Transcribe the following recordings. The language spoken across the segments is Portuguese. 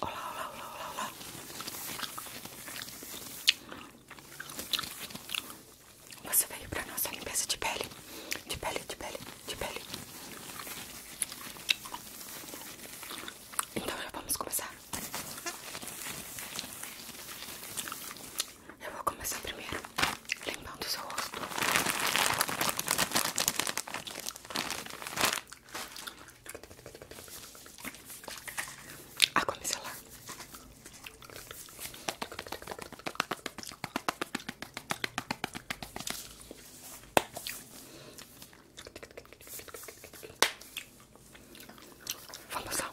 Olá, olá, olá, olá, olá. Você veio para nossa limpeza de pele, de pele, de pele, de pele. Então já vamos começar. Eu vou começar primeiro limpando o seu rosto. Água micelar. Vamos lá.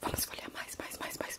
Vamos folhear mais, mais, mais, mais.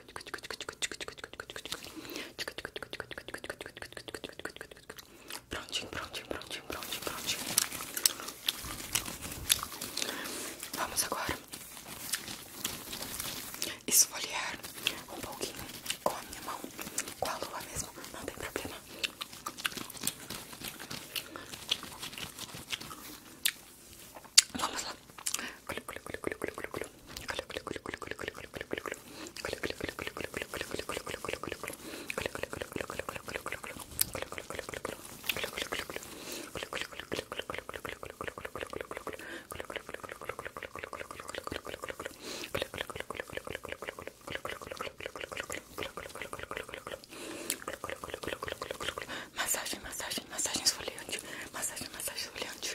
Prontinho, prontinho, prontinho, prontinho, prontinho. Vamos agora esfoliar um pouquinho com a minha mão, com a lua mesmo, não tem problema. Vamos lá. Massagem, massagem, massagem esfoliante, massagem, massagem esfoliante,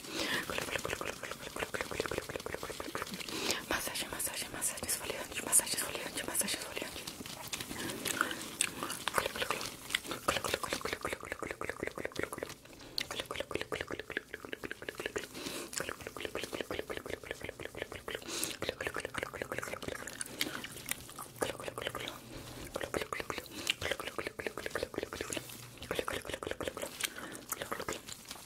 Masaje, masaje, masaje esfoliante, masaje esfoliante,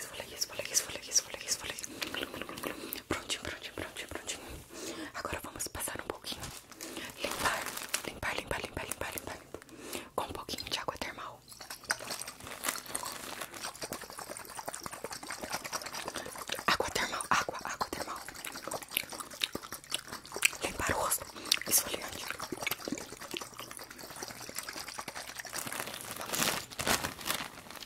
falei isso, falei isso, falei isso, falei isso, falei isso, falei isso. Prontinho, prontinho, prontinho, prontinho. Agora vamos passar um pouquinho. Limpar, limpar, limpar, limpar, limpar, limpar. Com um pouquinho de água termal. Água termal, água, água termal. Limpar o rosto, esfoliante. Vamos.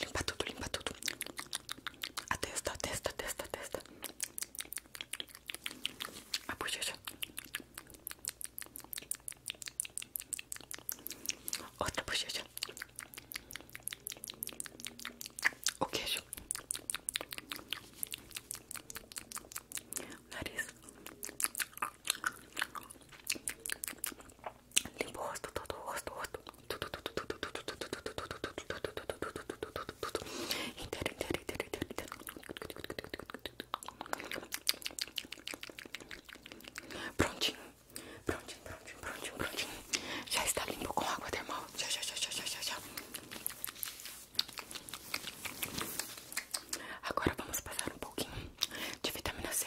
Limpa tudo, limpa tudo. A testa, a testa, a testa, a testa. A bochecha. Outra bochecha. O queijo. Limpa o rosto, todo o rosto, rosto. Tudo, tudo, tudo, tudo, tudo, tudo, tudo, tudo, tudo, tudo, tudo, tudo, tudo. Inteiro, inteiro, inteiro, inteiro, inteiro. Prontinho, prontinho, prontinho, prontinho, prontinho. Já está limpo com água termal. Já, já, já, já, já, já, já. Agora vamos passar um pouquinho de vitamina C.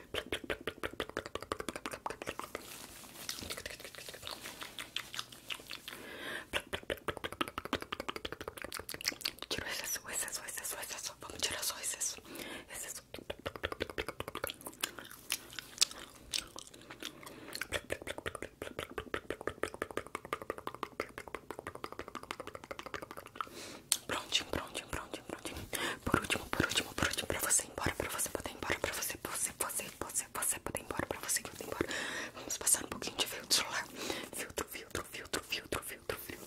Quiero es eso, es eso, es eso, es eso. Vamos tirar só es eso. Es eso. Prontinho, prontinho, prontinho, prontinho. Por último, por último, por último, pra você ir embora, pra você poder ir embora, pra você, você, você, você, você poder ir embora, pra você que poder embora. Vamos passar um pouquinho de filtro solar. Filtro, filtro, filtro, filtro, filtro, filtro.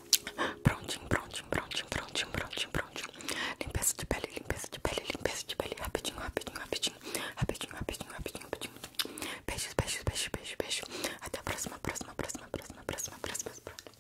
Prontinho, prontinho, prontinho, prontinho, prontinho, prontinho. Limpeza de pele, limpeza de pele, limpeza de pele. Rapidinho, rapidinho, rapidinho. Rapidinho, rapidinho, rapidinho, rapidinho. Beijos, beijos, beijos, beijos, beijos. Até a próxima, próxima, próxima, próxima, próxima, próxima. próxima.